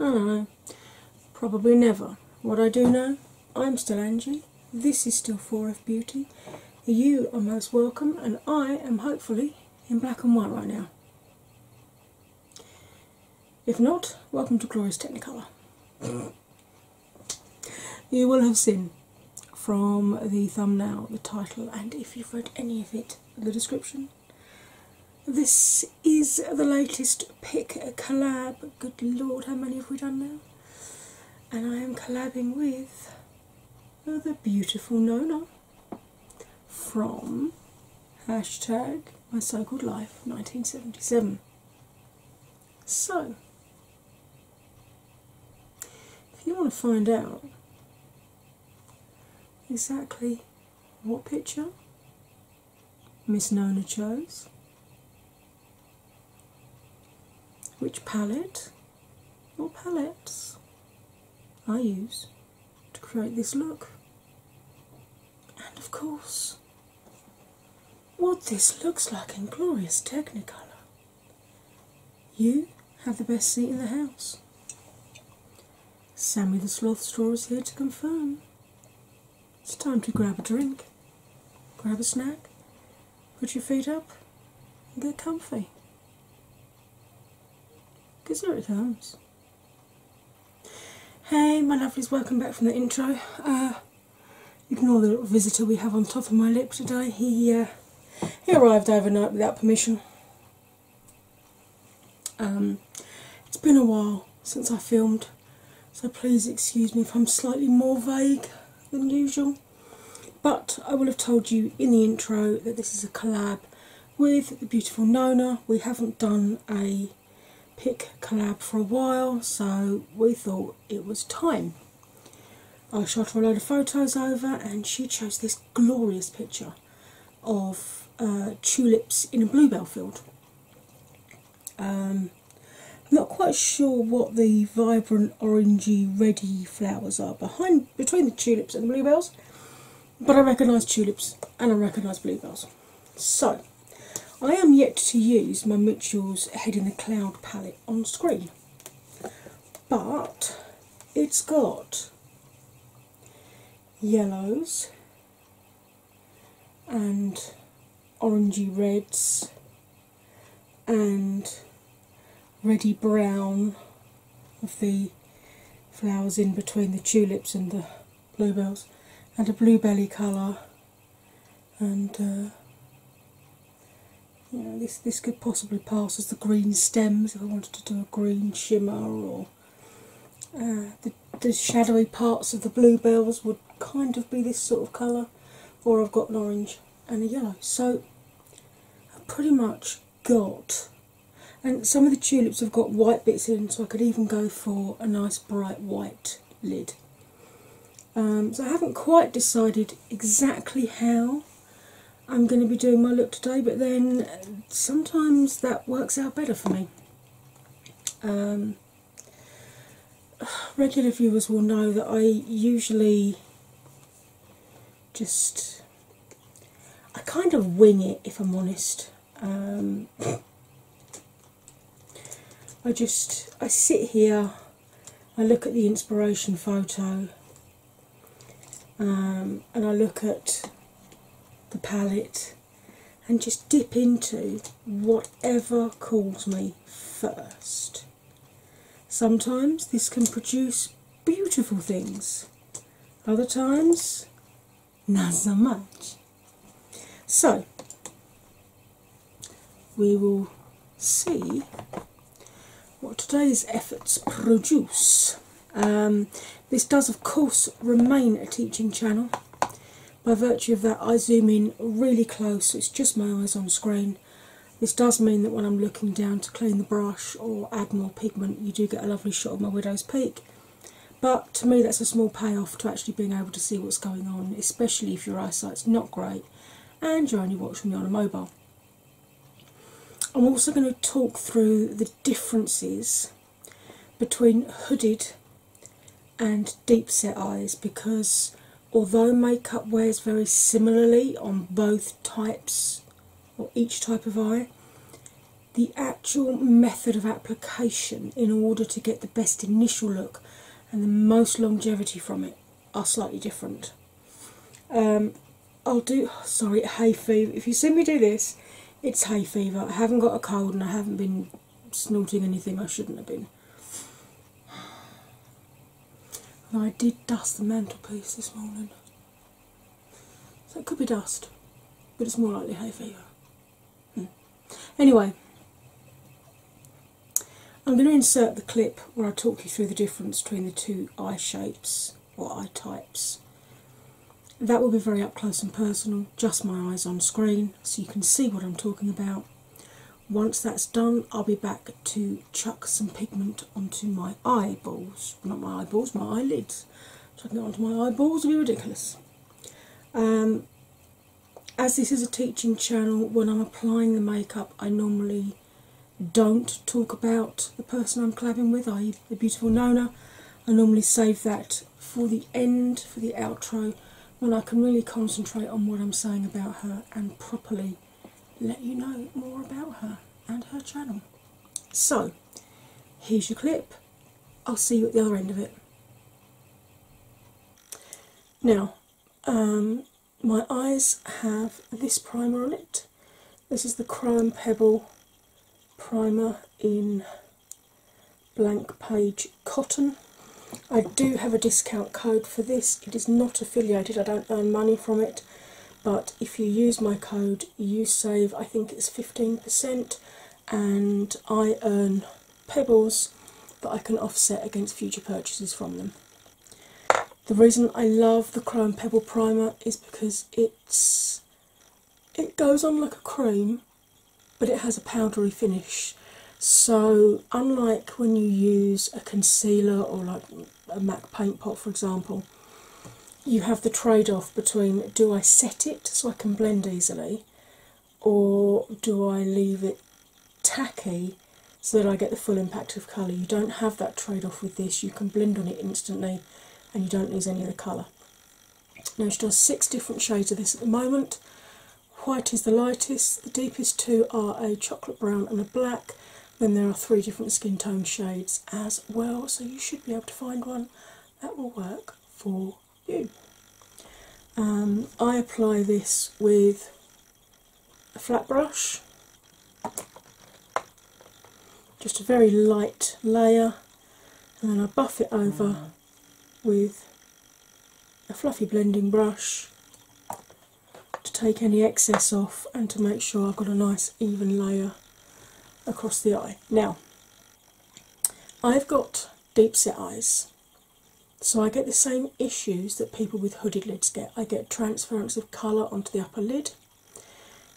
I don't know, probably never. What I do know, I'm still Angie, this is still 4F Beauty, you are most welcome, and I am hopefully in black and white right now. If not, welcome to Glorious Technicolor. you will have seen from the thumbnail, the title, and if you've read any of it, the description this is the latest pick collab. Good lord, how many have we done now? And I am collabing with the beautiful Nona from hashtag my so-called life 1977. So, if you want to find out exactly what picture? Miss Nona chose. Which palette or palettes I use to create this look. And of course, what this looks like in glorious Technicolor. You have the best seat in the house. Sammy the Sloth Straw is here to confirm. It's time to grab a drink, grab a snack, put your feet up, and get comfy. Because here it comes. Hey, my lovelies, welcome back from the intro. Uh, ignore the visitor we have on top of my lip today. He, uh, he arrived overnight without permission. Um, it's been a while since I filmed, so please excuse me if I'm slightly more vague than usual. But I will have told you in the intro that this is a collab with the beautiful Nona. We haven't done a pic collab for a while, so we thought it was time. I shot her a load of photos over, and she chose this glorious picture of uh, tulips in a bluebell field. I'm um, not quite sure what the vibrant orangey reddy flowers are behind between the tulips and the bluebells, but I recognise tulips and I recognise bluebells. So I am yet to use my Mitchell's Head in the Cloud palette on screen, but it's got yellows and orangy reds and reddy brown of the flowers in between the tulips and the bluebells and a blue belly colour and uh, you know this this could possibly pass as the green stems if I wanted to do a green shimmer or uh, the, shadowy parts of the bluebells would kind of be this sort of colour, or I've got an orange and a yellow. So I've pretty much got, and some of the tulips have got white bits in, so I could even go for a nice bright white lid. Um, so I haven't quite decided exactly how I'm going to be doing my look today, but then uh, sometimes that works out better for me. Um, regular viewers will know that I usually just I kind of wing it if I'm honest. Um, I just I sit here, I look at the inspiration photo, um, and I look at the palette and just dip into whatever calls me first. Sometimes this can produce beautiful things, other times, not so much. So, we will see what today's efforts produce. Um, this does, of course, remain a teaching channel by virtue of that. I zoom in really close, it's just my eyes on screen. This does mean that when I'm looking down to clean the brush or add more pigment, you do get a lovely shot of my widow's peak. But to me, that's a small payoff to actually being able to see what's going on, especially if your eyesight's not great and you're only watching me on a mobile. I'm also going to talk through the differences between hooded and deep set eyes because although makeup wears very similarly on both types or each type of eye, the actual method of application in order to get the best initial look and the most longevity from it are slightly different. Um, I'll do. Sorry, hay fever. If you see me do this, it's hay fever. I haven't got a cold and I haven't been snorting anything I shouldn't have been. I did dust the mantelpiece this morning. So it could be dust, but it's more likely hay fever. Hmm. Anyway, I'm going to insert the clip where I talk you through the difference between the two eye shapes what eye types. That will be very up close and personal, just my eyes on screen, so you can see what I'm talking about. Once that's done, I'll be back to chuck some pigment onto my eyeballs. Not my eyeballs, my eyelids. Chucking it onto my eyeballs would be ridiculous. Um, as this is a teaching channel, when I'm applying the makeup, I normally don't talk about the person I'm collabing with, i.e., the beautiful Nona. I normally save that for the end, for the outro, when I can really concentrate on what I'm saying about her and properly let you know more about her and her channel. So, here's your clip. I'll see you at the other end of it. Now, um, my eyes have this primer on it. This is the Crime Pebble primer in blank page cotton. I do have a discount code for this. It is not affiliated, I don't earn money from it, but if you use my code, you save, I think it's 15%, and I earn pebbles that I can offset against future purchases from them. The reason I love the Chrome Pebble Primer is because it's it goes on like a cream, but it has a powdery finish. So, unlike when you use a concealer or like a MAC paint pot, for example, you have the trade off between do I set it so I can blend easily, or do I leave it tacky so that I get the full impact of colour? You don't have that trade off with this, you can blend on it instantly and you don't lose any of the colour. Now she does six different shades of this at the moment. White is the lightest, the deepest two are a chocolate brown and a black. Then there are three different skin tone shades as well, so you should be able to find one that will work for you. Um, I apply this with a flat brush just a very light layer, and then I buff it over mm. with a fluffy blending brush to take any excess off and to make sure I've got a nice even layer across the eye. Now, I've got deep set eyes, so I get the same issues that people with hooded lids get. I get transference of colour onto the upper lid,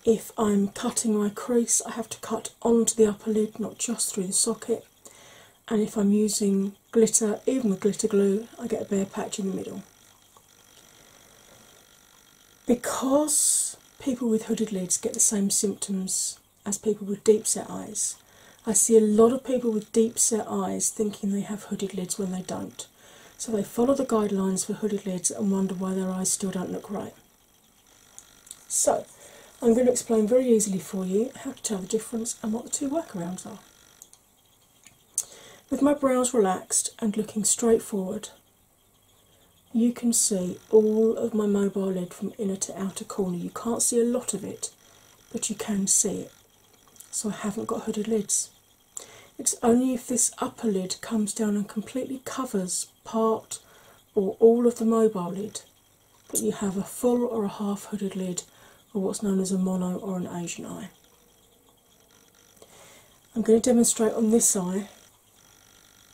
if I'm cutting my crease, I have to cut onto the upper lid, not just through the socket. And if I'm using glitter, even with glitter glue, I get a bare patch in the middle. Because people with hooded lids get the same symptoms as people with deep set eyes, I see a lot of people with deep set eyes thinking they have hooded lids when they don't. So they follow the guidelines for hooded lids and wonder why their eyes still don't look right. So, I'm going to explain very easily for you how to tell the difference and what the two workarounds are. With my brows relaxed and looking straightforward, you can see all of my mobile lid from inner to outer corner. You can't see a lot of it, but you can see it. So, I haven't got hooded lids. It's only if this upper lid comes down and completely covers part, or all of the mobile lid, but you have a full or a half hooded lid, or what's known as a mono or an Asian eye. I'm going to demonstrate on this eye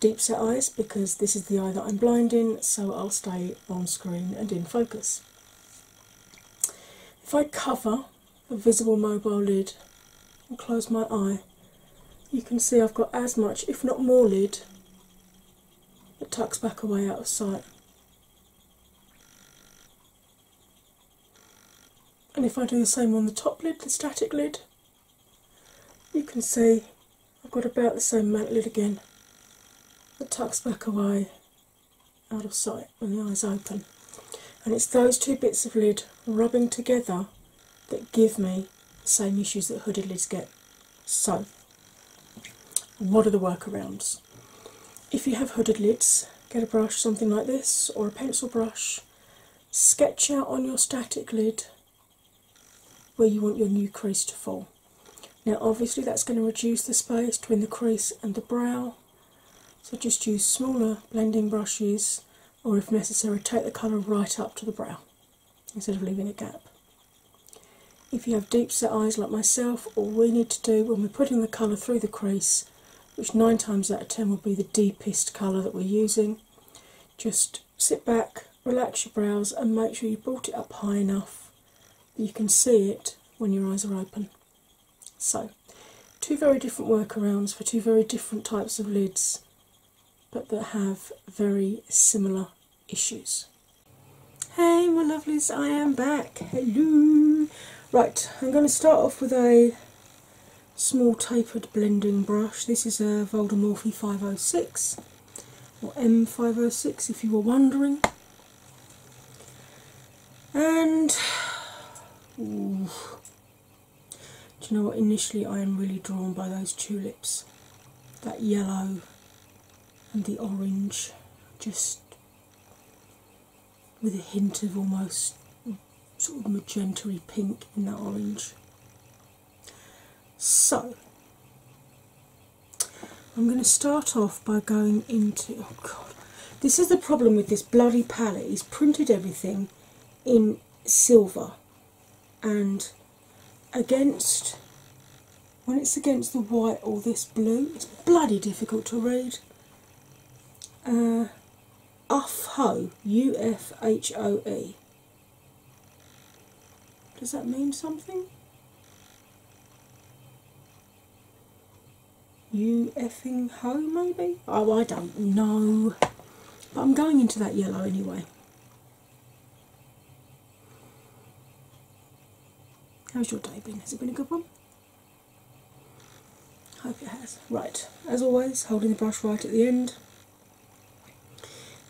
deep set eyes because this is the eye that I'm blind in, so I'll stay on screen and in focus. If I cover the visible mobile lid and close my eye, you can see I've got as much, if not more, lid that tucks back away out of sight. And if I do the same on the top lid, the static lid, you can see I've got about the same amount lid again that tucks back away out of sight when the eyes open. And it's those two bits of lid rubbing together that give me the same issues that hooded lids get. So, what are the workarounds? If you have hooded lids, get a brush, something like this, or a pencil brush, sketch out on your static lid where you want your new crease to fall. Now, obviously, that's going to reduce the space between the crease and the brow, so just use smaller blending brushes or if necessary, take the colour right up to the brow instead of leaving a gap. If you have deep set eyes like myself, all we need to do when we're putting the colour through the crease, which nine times out of ten will be the deepest colour that we're using, just sit back, relax your brows, and make sure you brought it up high enough that you can see it when your eyes are open. So, two very different workarounds for two very different types of lids but that have very similar issues. Hey, my lovelies, I am back. Hello. Right, I'm going to start off with a small tapered blending brush. This is a Voldemorphy 506 or M506 if you were wondering. And do you know what? Initially, I am really drawn by those tulips, that yellow and the orange, just with a hint of almost sort of magentary pink in that orange. So, I'm going to start off by going into. Oh God, this is the problem with this bloody palette. He's printed everything in silver and against when it's against the white or this blue, it's bloody difficult to read. Uh, U F H O E. Does that mean something? U f h o maybe? Oh, I don't know. But I'm going into that yellow anyway. How's your day been? Has it been a good one? Hope it has. Right, as always, holding the brush right at the end.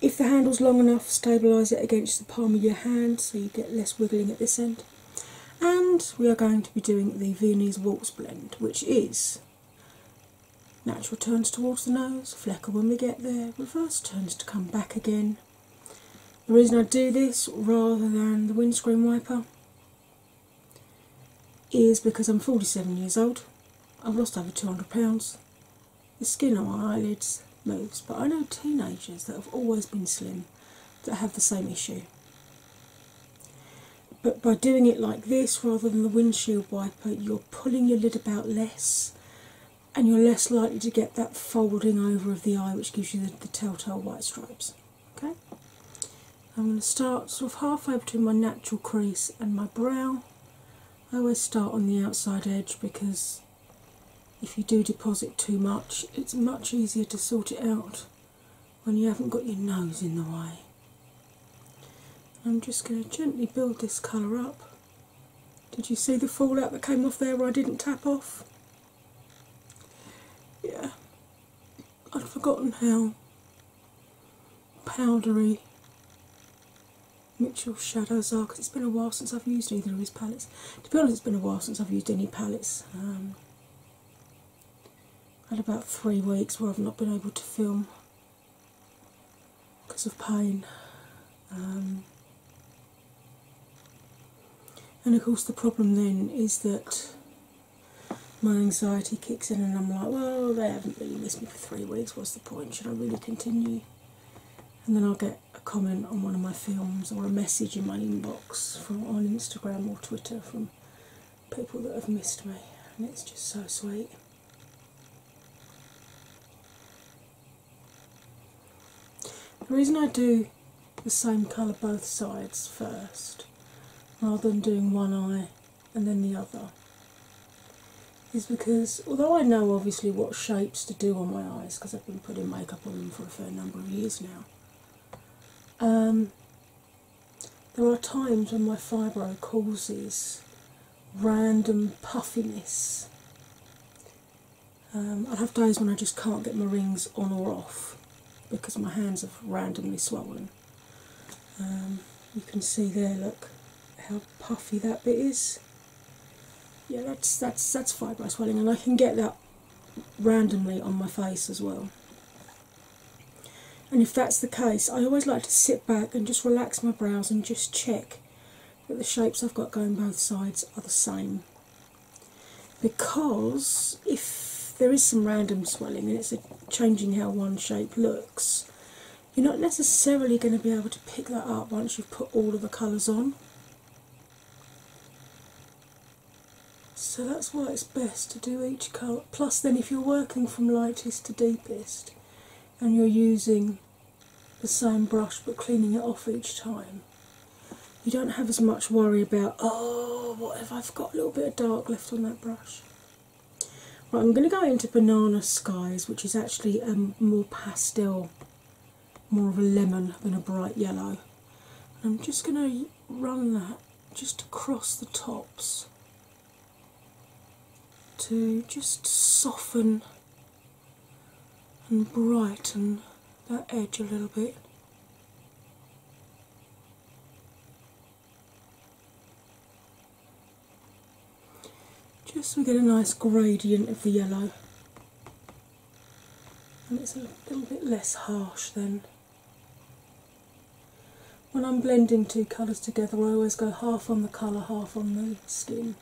If the handle's long enough, stabilise it against the palm of your hand so you get less wiggling at this end. And we are going to be doing the Viennese Waltz blend, which is Natural turns towards the nose, flecker when we get there, reverse turns to come back again. The reason I do this rather than the windscreen wiper is because I'm 47 years old, I've lost over 200 pounds, the skin on my eyelids moves, but I know teenagers that have always been slim that have the same issue but by doing it like this rather than the windshield wiper, you're pulling your lid about less and you're less likely to get that folding over of the eye, which gives you the, telltale white stripes. Okay, I'm going to start sort of halfway between my natural crease and my brow. I always start on the outside edge because if you do deposit too much, it's much easier to sort it out when you haven't got your nose in the way. I'm just going to gently build this colour up. Did you see the fallout that came off there where I didn't tap off? Yeah, I'd forgotten how powdery Mitchell shadows are because it's been a while since I've used either of his palettes. To be honest, it's been a while since I've used any palettes. Um, had about three weeks where I've not been able to film because of pain. Um, and of course, the problem then is that my anxiety kicks in, and I'm like, well, they haven't really missed me for three weeks, what's the point? Should I really continue? And then I'll get a comment on one of my films or a message in my inbox from on Instagram or Twitter from people that have missed me, and it's just so sweet. The reason I do the same colour both sides first rather than doing one eye and then the other is because although I know obviously what shapes to do on my eyes because I've been putting makeup on them for a fair number of years now, um, there are times when my fibro causes random puffiness. Um, I have days when I just can't get my rings on or off because my hands have randomly swollen. Um, you can see there, look how puffy that bit is. Yeah, that's that's that's fibro swelling, and I can get that randomly on my face as well. And if that's the case, I always like to sit back and just relax my brows and just check that the shapes I've got going both sides are the same. Because if there is some random swelling and it's changing how one shape looks, you're not necessarily going to be able to pick that up once you've put all of the colours on. So that's why it's best to do each colour. Plus, then, if you're working from lightest to deepest, and you're using the same brush but cleaning it off each time, you don't have as much worry about, oh, what if I've got a little bit of dark left on that brush. Right, I'm going to go into Banana Skies, which is actually a um, more pastel, more of a lemon than a bright yellow. I'm just going to run that just across the tops to just soften and brighten that edge a little bit. Just so we get a nice gradient of the yellow and it's a little bit less harsh then when I'm blending two colours together, I always go half on the colour, half on the skin.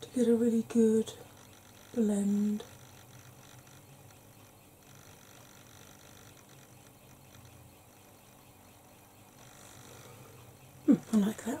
To get a really good blend. Hmm, I like that.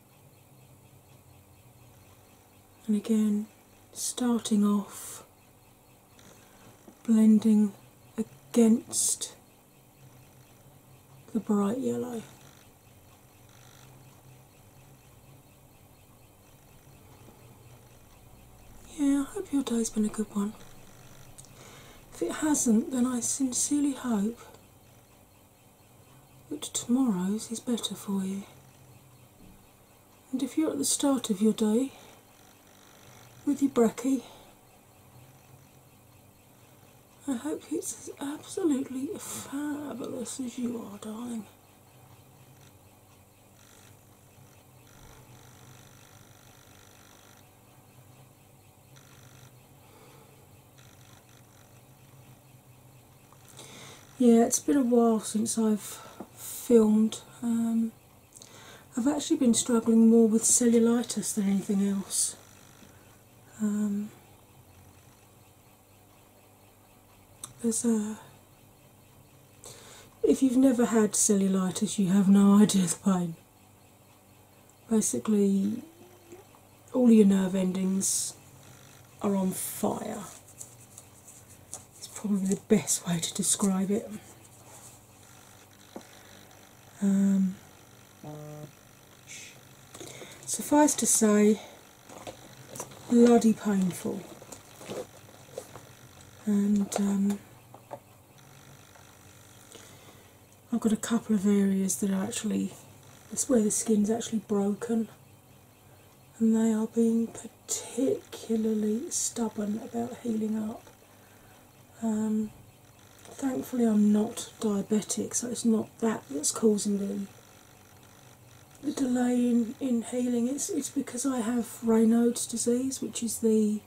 and again, starting off blending against the bright yellow. Yeah, I hope your day's been a good one. If it hasn't, then I sincerely hope but tomorrow's is better for you. And if you're at the start of your day with your brekkie, I hope it's as absolutely fabulous as you are, darling. Yeah, it's been a while since I've filmed. Um, I've actually been struggling more with cellulitis than anything else. Um, if you've never had cellulitis, you have no idea the pain. Basically, all your nerve endings are on fire. It's probably the best way to describe it. Um, suffice to say, bloody painful. And um, I've got a couple of areas that are actually, that's where the skin's actually broken and they are being particularly stubborn about healing up. Um, thankfully, I'm not diabetic, so it's not that that's causing the delay in, in healing. It's, it's because I have Raynaud's disease, which is the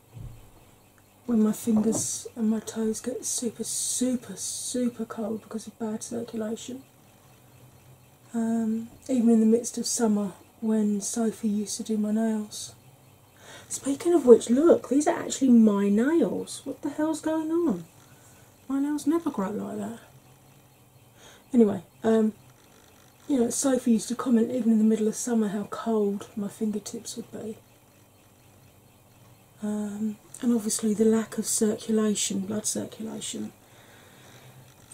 when my fingers and my toes get super, super, super cold because of bad circulation. Um, even in the midst of summer when Sophie used to do my nails. Speaking of which, look, these are actually my nails. What the hell's going on? My nails never grow like that. Anyway, um, you know, Sophie used to comment even in the middle of summer how cold my fingertips would be. Um, and obviously, the lack of circulation, blood circulation,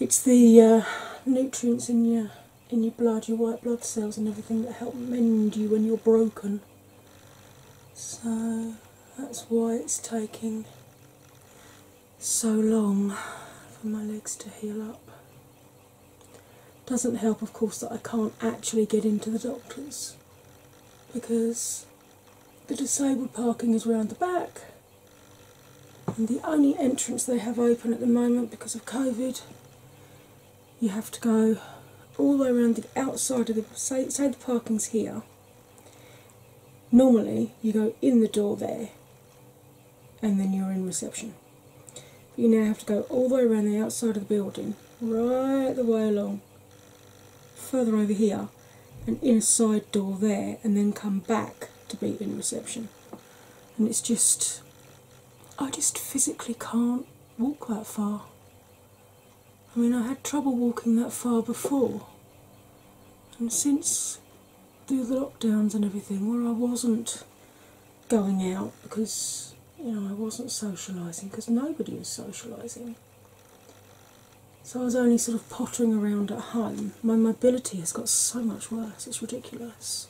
it's the uh, nutrients in your in your blood, your white blood cells, and everything that help mend you when you're broken. So that's why it's taking so long for my legs to heal up. Doesn't help, of course, that I can't actually get into the doctor's because the disabled parking is round the back, and the only entrance they have open at the moment because of COVID, you have to go all the way around the outside of the say, the parking's here. Normally, you go in the door there and then you're in reception. you now have to go all the way around the outside of the building, right the way along, further over here, an inside door there, and then come back to be in reception. And it's just, I just physically can't walk that far. I mean, I had trouble walking that far before, and since the lockdowns and everything, where I wasn't going out because you know I wasn't socialising because nobody was socialising. So I was only sort of pottering around at home. My mobility has got so much worse, it's ridiculous.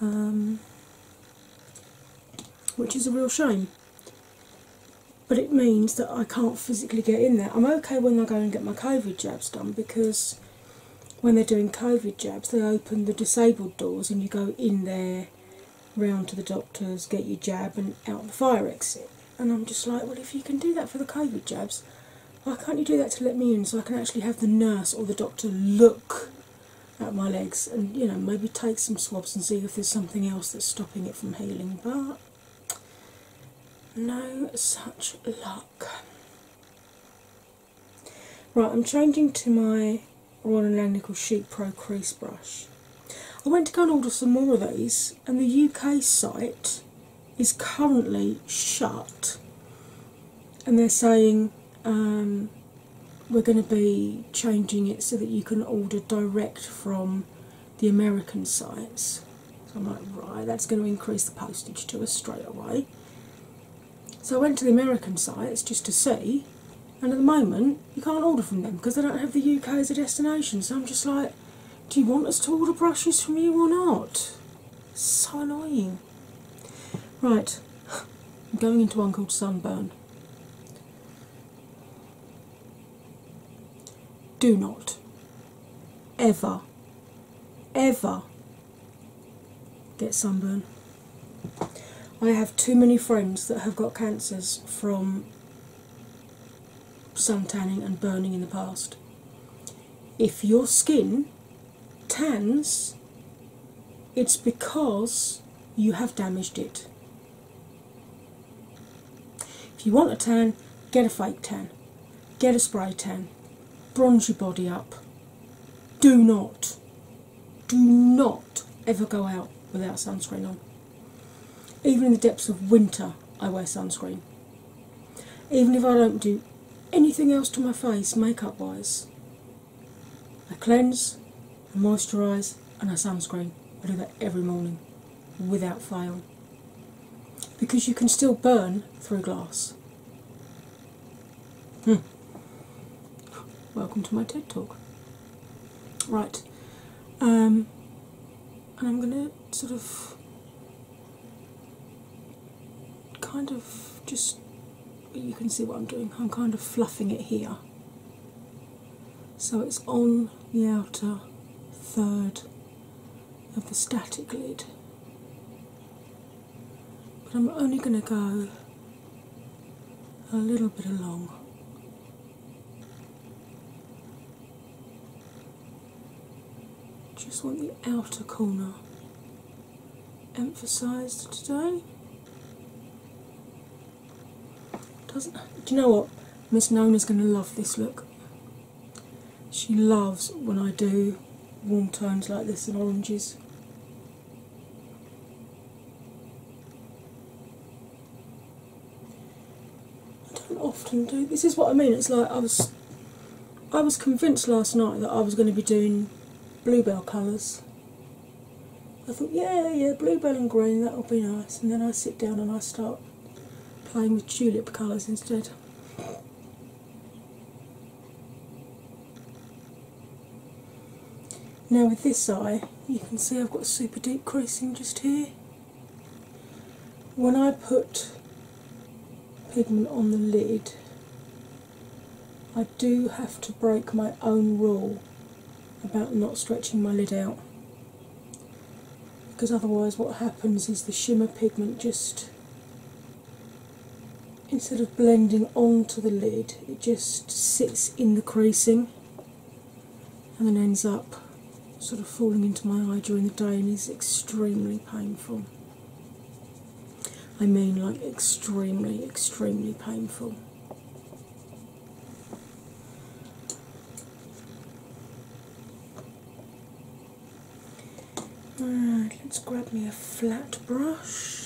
Um, which is a real shame. But it means that I can't physically get in there. I'm okay when I go and get my COVID jabs done because when they're doing COVID jabs, they open the disabled doors and you go in there, round to the doctors, get your jab, and out the fire exit and I'm just like, well, if you can do that for the COVID jabs, why can't you do that to let me in so I can actually have the nurse or the doctor look at my legs and you know maybe take some swabs and see if there's something else that's stopping it from healing? But no such luck. Right, I'm changing to my Royal and Langnickel Sheep Pro Crease Brush. I went to go and order some more of these, and the UK site is currently shut, and they're saying um, we're going to be changing it so that you can order direct from the American sites. So I'm like, right, that's going to increase the postage to us straight away. So I went to the American sites just to see, and at the moment you can't order from them because they don't have the UK as a destination. So I'm just like, do you want us to order brushes from you or not? So annoying. Right, I'm going into one called Sunburn. Do not ever, ever get sunburn. I have too many friends that have got cancers from sun tanning and burning in the past. If your skin tans, it's because you have damaged it. If you want a tan, get a fake tan, get a spray tan, bronze your body up. Do not, do not ever go out without sunscreen on. Even in the depths of winter, I wear sunscreen. Even if I don't do anything else to my face makeup wise, I cleanse, I moisturise, and I sunscreen. I do that every morning without fail. Because you can still burn through glass. Hmm. Welcome to my TED Talk. Right. Um, and I'm going to sort of kind of just you can see what I'm doing, I'm kind of fluffing it here so it's on the outer third of the static lid. But I'm only going to go a little bit along just want the outer corner emphasised today. Doesn't do you know what? Miss Nona's gonna love this look. She loves when I do warm tones like this and oranges. I don't often do this is what I mean, it's like I was I was convinced last night that I was going to be doing bluebell colours. I thought, yeah, yeah, bluebell and green, that'll be nice. And then I sit down and I start playing with tulip colours instead. Now, with this eye, you can see I've got super deep creasing just here. When I put pigment on the lid, I do have to break my own rule about not stretching my lid out because otherwise, what happens is the shimmer pigment just instead of blending onto the lid, it just sits in the creasing and then ends up sort of falling into my eye during the day and is extremely painful. I mean, like, extremely, extremely painful. Alright, let's grab me a flat brush.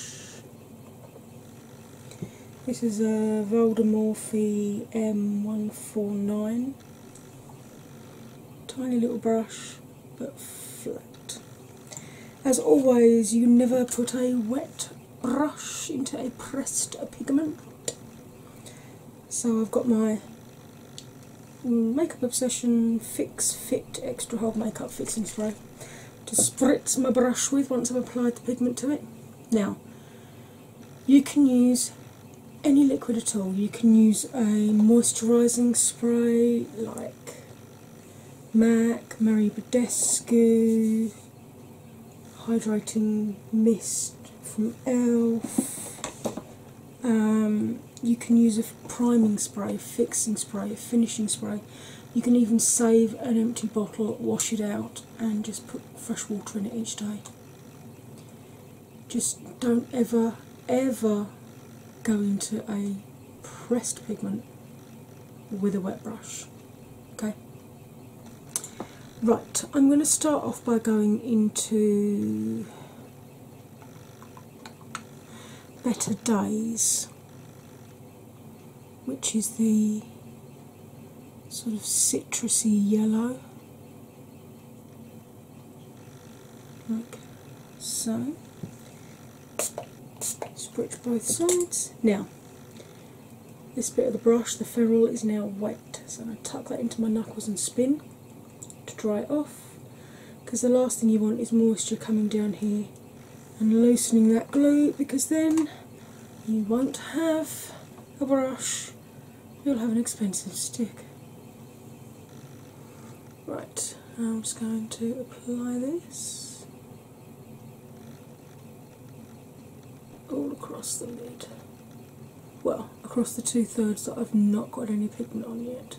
This is a Voldemorphy M149. Tiny little brush, but flat. As always, you never put a wet brush into a pressed pigment. So I've got my Makeup Obsession Fix Fit Extra Hold Makeup Fixing Spray to spritz my brush with once I've applied the pigment to it. Now, you can use any liquid at all. You can use a moisturising spray like MAC, Marie Badescu, Hydrating Mist from ELF. Um, you can use a priming spray, a fixing spray, a finishing spray. You can even save an empty bottle, wash it out, and just put fresh water in it each day just don't ever, ever go into a pressed pigment with a wet brush. Okay? Right, I'm going to start off by going into Better Days, which is the sort of citrusy yellow like so. Spritz both sides. Now, this bit of the brush, the ferrule, is now wet, so I'm going to tuck that into my knuckles and spin to dry it off because the last thing you want is moisture coming down here and loosening that glue because then you won't have a brush you'll have an expensive stick. Right, I'm just going to apply this all across the lid. Well, across the two thirds that I've not got any pigment on yet.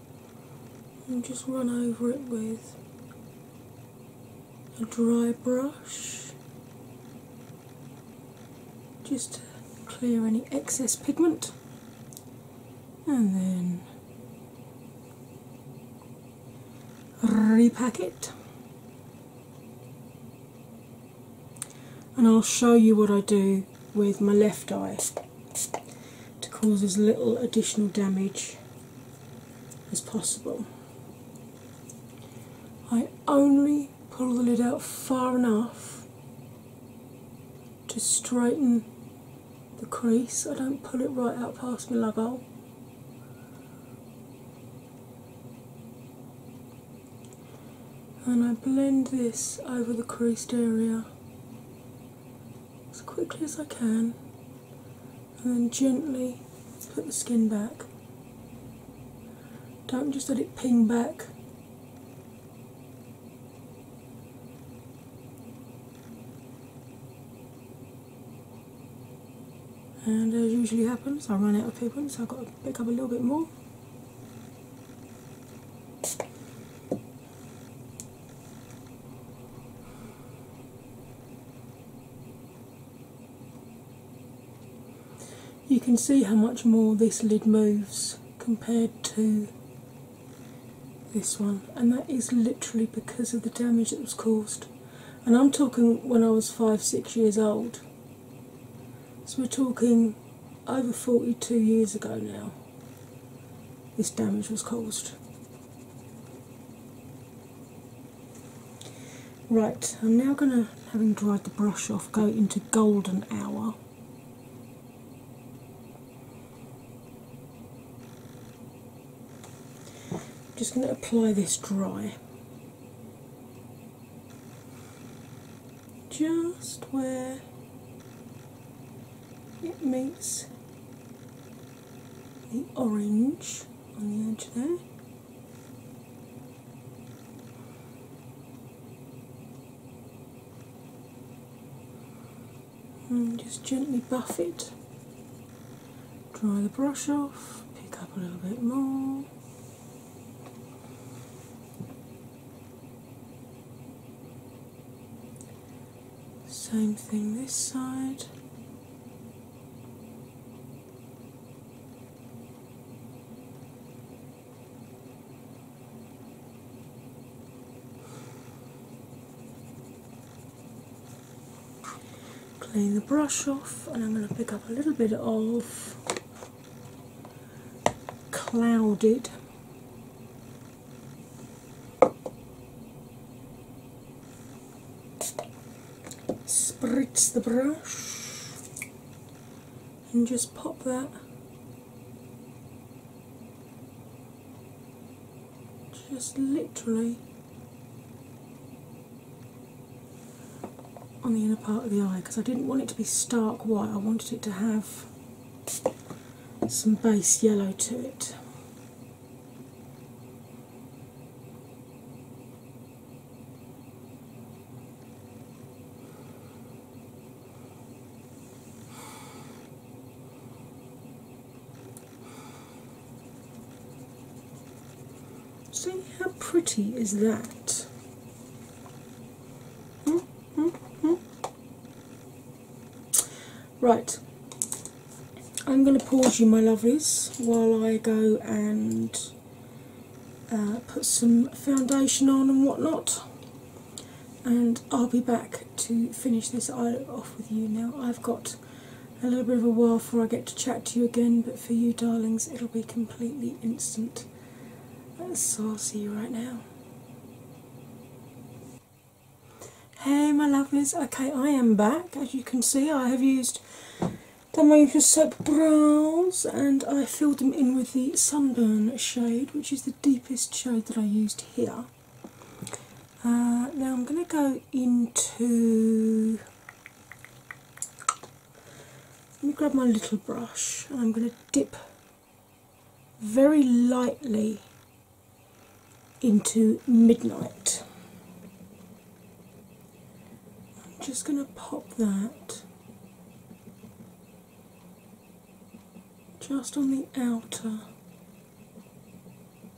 and just run over it with a dry brush just to clear any excess pigment and then repack it. And I'll show you what I do with my left eye to cause as little additional damage as possible. I only pull the lid out far enough to straighten the crease, I don't pull it right out past my lug And I blend this over the creased area as quickly as I can and then gently put the skin back. Don't just let it ping back. And as usually happens, I ran out of pigment, so I've got to pick up a little bit more. You can see how much more this lid moves compared to this one, and that is literally because of the damage that was caused. And I'm talking when I was five, six years old. So we're talking over 42 years ago now this damage was caused. Right, I'm now going to, having dried the brush off, go into golden hour. I'm just going to apply this dry. Just where it meets the orange on the edge there. And just gently buff it. Dry the brush off, pick up a little bit more. Same thing this side. Clean the brush off, and I'm going to pick up a little bit of clouded Spritz the brush and just pop that just literally on the inner part of the eye because I didn't want it to be stark white, I wanted it to have some base yellow to it. See how pretty is that? Hmm? Hmm? Hmm? Right, I'm going to pause you, my lovelies, while I go and uh, put some foundation on and whatnot, and I'll be back to finish this eyelid off with you. Now, I've got a little bit of a while before I get to chat to you again, but for you, darlings, it'll be completely instant. So I'll see you right now. Hey my lovelies, okay I am back as you can see I have used done my usual soap brows and I filled them in with the sunburn shade which is the deepest shade that I used here. Uh, now I'm going to go into, let me grab my little brush and I'm going to dip very lightly into midnight. I'm just going to pop that just on the outer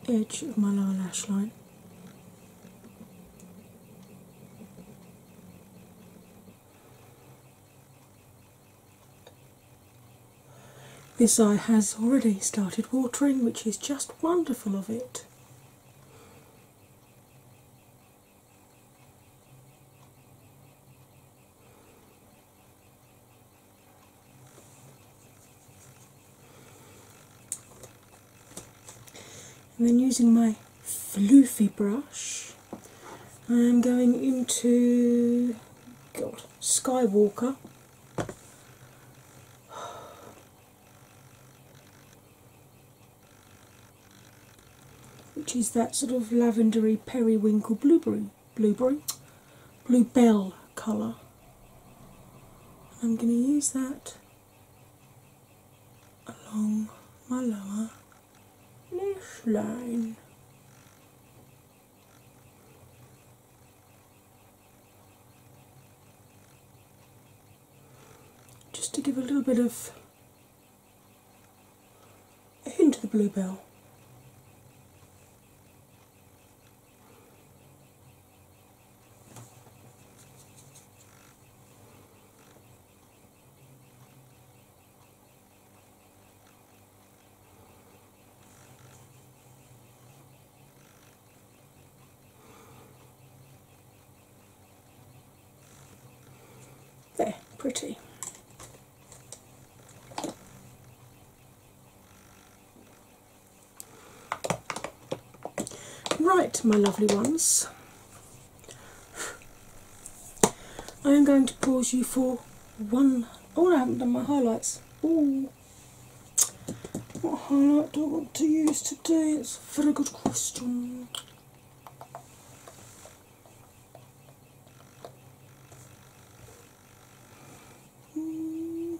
edge of my lower lash line. This eye has already started watering, which is just wonderful of it. And then using my floofy brush, I'm going into God Skywalker which is that sort of lavendery periwinkle blueberry, blueberry, bluebell colour. I'm going to use that along my lower lash line. Just to give a little bit of a hint of the bluebell. There, pretty. Right, my lovely ones, I am going to pause you for one. Oh, I haven't done my highlights. Ooh. What highlight do I want to use today? It's a very good question. Hmm.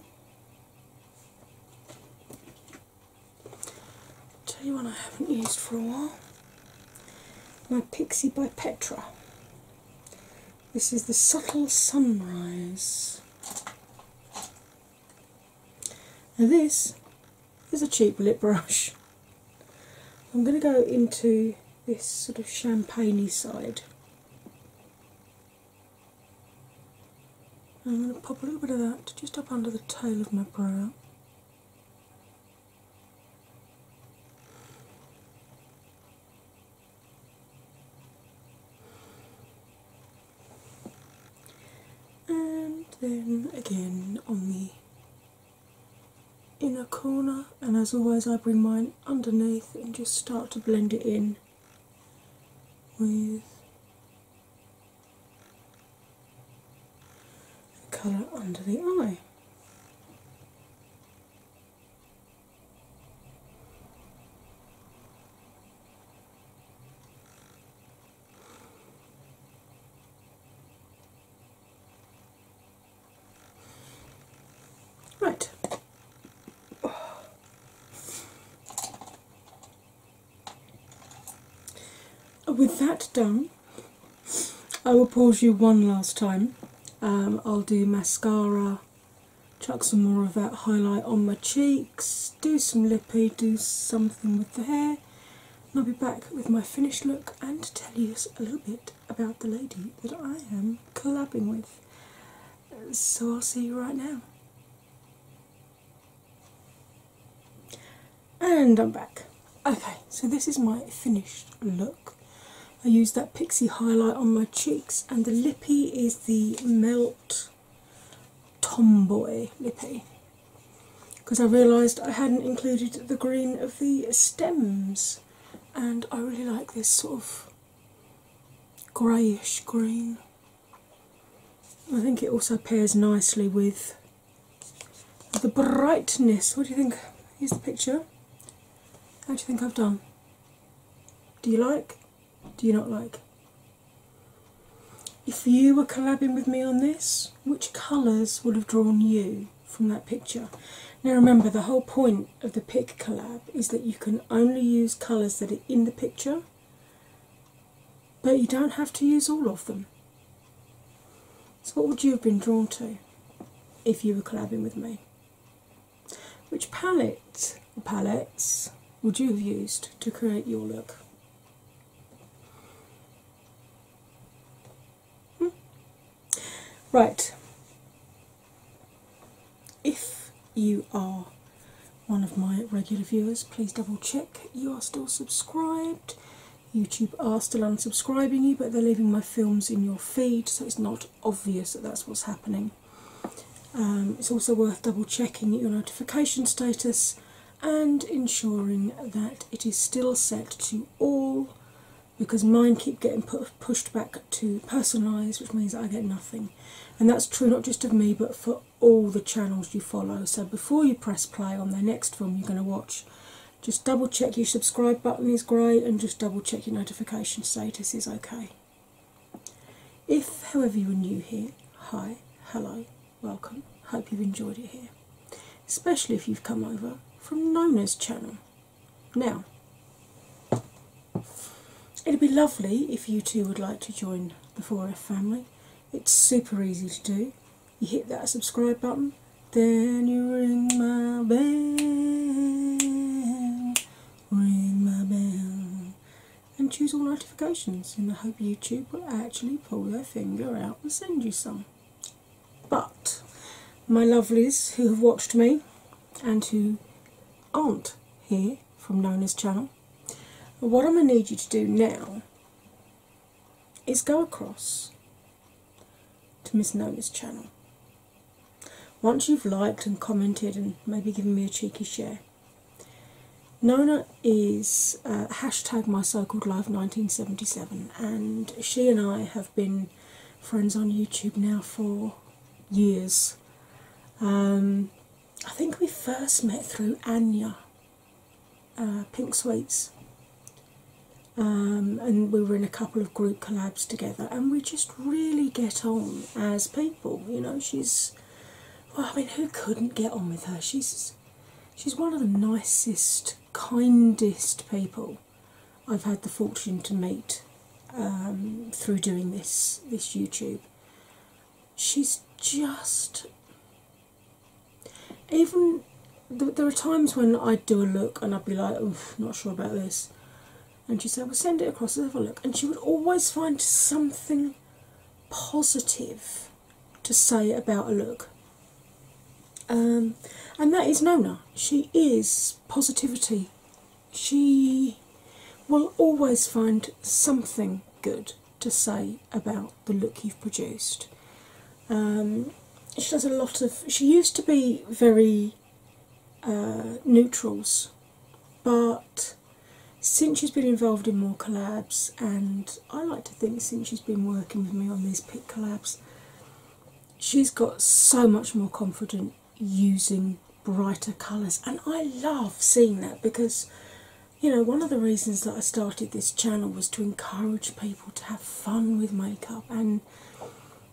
Tell you one I haven't used for a while. My Pixie by Petra. This is the Subtle Sunrise. And this is a cheap lip brush. I'm going to go into this sort of champagne side. I'm going to pop a little bit of that just up under the tail of my brow and then again on the inner corner and as always I bring mine underneath and just start to blend it in with the colour under the eye. Right. With that done, I will pause you one last time. Um, I'll do mascara chuck some more of that highlight on my cheeks, do some lippy, do something with the hair, and I'll be back with my finished look and tell you a little bit about the lady that I am collabing with. So I'll see you right now. And I'm back. Okay, so this is my finished look. I use that pixie highlight on my cheeks, and the lippy is the Melt Tomboy lippy because I realised I hadn't included the green of the stems, and I really like this sort of greyish green. I think it also pairs nicely with the brightness. What do you think? Here's the picture. How do you think I've done? Do you like? Do you not like? If you were collabing with me on this, which colours would have drawn you from that picture? Now remember, the whole point of the pick collab is that you can only use colours that are in the picture, but you don't have to use all of them. So, what would you have been drawn to if you were collabing with me? Which palette palettes would you have used to create your look? Hmm. Right, if you are one of my regular viewers, please double check you are still subscribed. YouTube are still unsubscribing you, but they're leaving my films in your feed, so it's not obvious that that's what's happening. Um, it's also worth double checking your notification status and ensuring that it is still set to all because mine keep getting pushed back to personalised, which means I get nothing. And that's true not just of me but for all the channels you follow. So before you press play on the next film you're going to watch, just double check your subscribe button is grey and just double check your notification status is okay. If, however, you are new here, hi, hello, welcome. Hope you've enjoyed it here, especially if you've come over from Nona's channel. Now, it'd be lovely if you too would like to join the 4F family. It's super easy to do. You hit that subscribe button, then you ring my bell ring my bell, and choose all notifications and I hope YouTube will actually pull their finger out and send you some. But my lovelies who have watched me and who aren't here from Nona's channel, what I'm going to need you to do now is go across to Miss Nona's channel once you've liked and commented and maybe given me a cheeky share, Nona is uh, hashtag my so called life 1977, and she and I have been friends on YouTube now for years. Um, I think we first met through Anya uh, Pink Sweets, um, and we were in a couple of group collabs together, and we just really get on as people. You know, she's well, I mean, who couldn't get on with her? She's she's one of the nicest, kindest people I've had the fortune to meet um, through doing this this YouTube. She's just even there are times when I'd do a look and I'd be like, "Oof, not sure about this," and she said, say, Well, send it across, let's have a look. And she would always find something positive to say about a look. Um, and that is Nona. She is positivity. She will always find something good to say about the look you've produced. Um, she does a lot of. She used to be very uh, neutrals, but since she's been involved in more collabs, and I like to think since she's been working with me on these pit collabs, she's got so much more confident using brighter colours, and I love seeing that because. You know, one of the reasons that I started this channel was to encourage people to have fun with makeup, and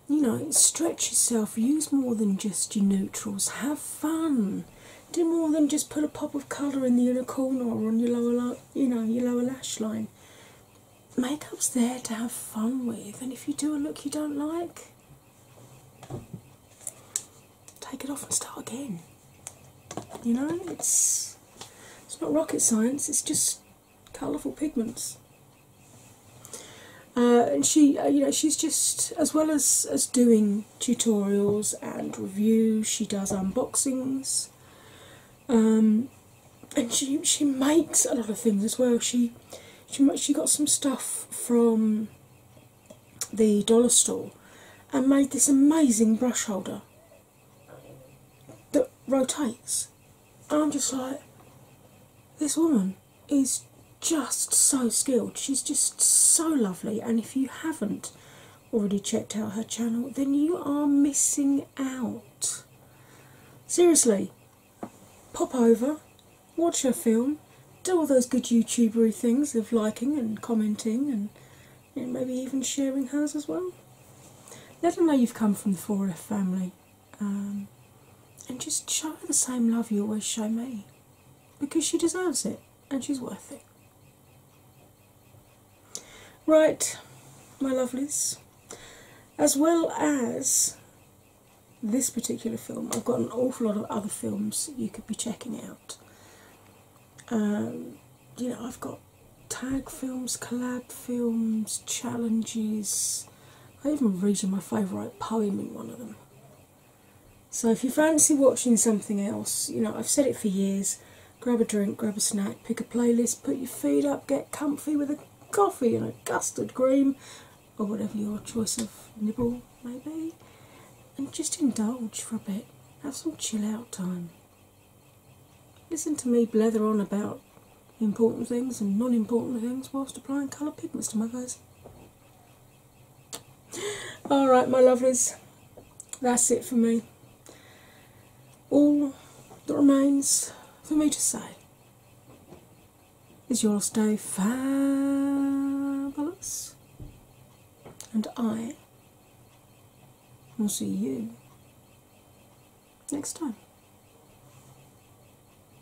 you know, stretch yourself, use more than just your neutrals, have fun, do more than just put a pop of colour in the inner corner or on your lower, you know, your lower lash line. Makeup's there to have fun with, and if you do a look you don't like, take it off and start again. You know, it's it's not rocket science, it's just colourful pigments. Uh, and she, uh, you know, she's just as well as as doing tutorials and reviews, she does unboxings, um, and she she makes a lot of things as well. She she she got some stuff from the dollar store and made this amazing brush holder that rotates. And I'm just like, this woman is just so skilled. She's just so lovely, and if you haven't already checked out her channel, then you are missing out. Seriously, pop over, watch her film, do all those good YouTubery things of liking and commenting and maybe even sharing hers as well. Let them know you've come from the 4F family. Um, and just show her the same love you always show me because she deserves it and she's worth it. Right, my lovelies, as well as this particular film, I've got an awful lot of other films you could be checking out. Um, you know, I've got tag films, collab films, challenges, I even read you my favourite poem in one of them. So if you fancy watching something else, you know, I've said it for years grab a drink, grab a snack, pick a playlist, put your feet up, get comfy with a coffee and a custard cream or whatever your choice of nibble maybe, and just indulge for a bit. Have some chill out time. Listen to me blather on about important things and non important things whilst applying colour pigments to my face. All right, my lovelies, that's it for me. All that remains for me to say is you'll stay fabulous, and I will see you next time.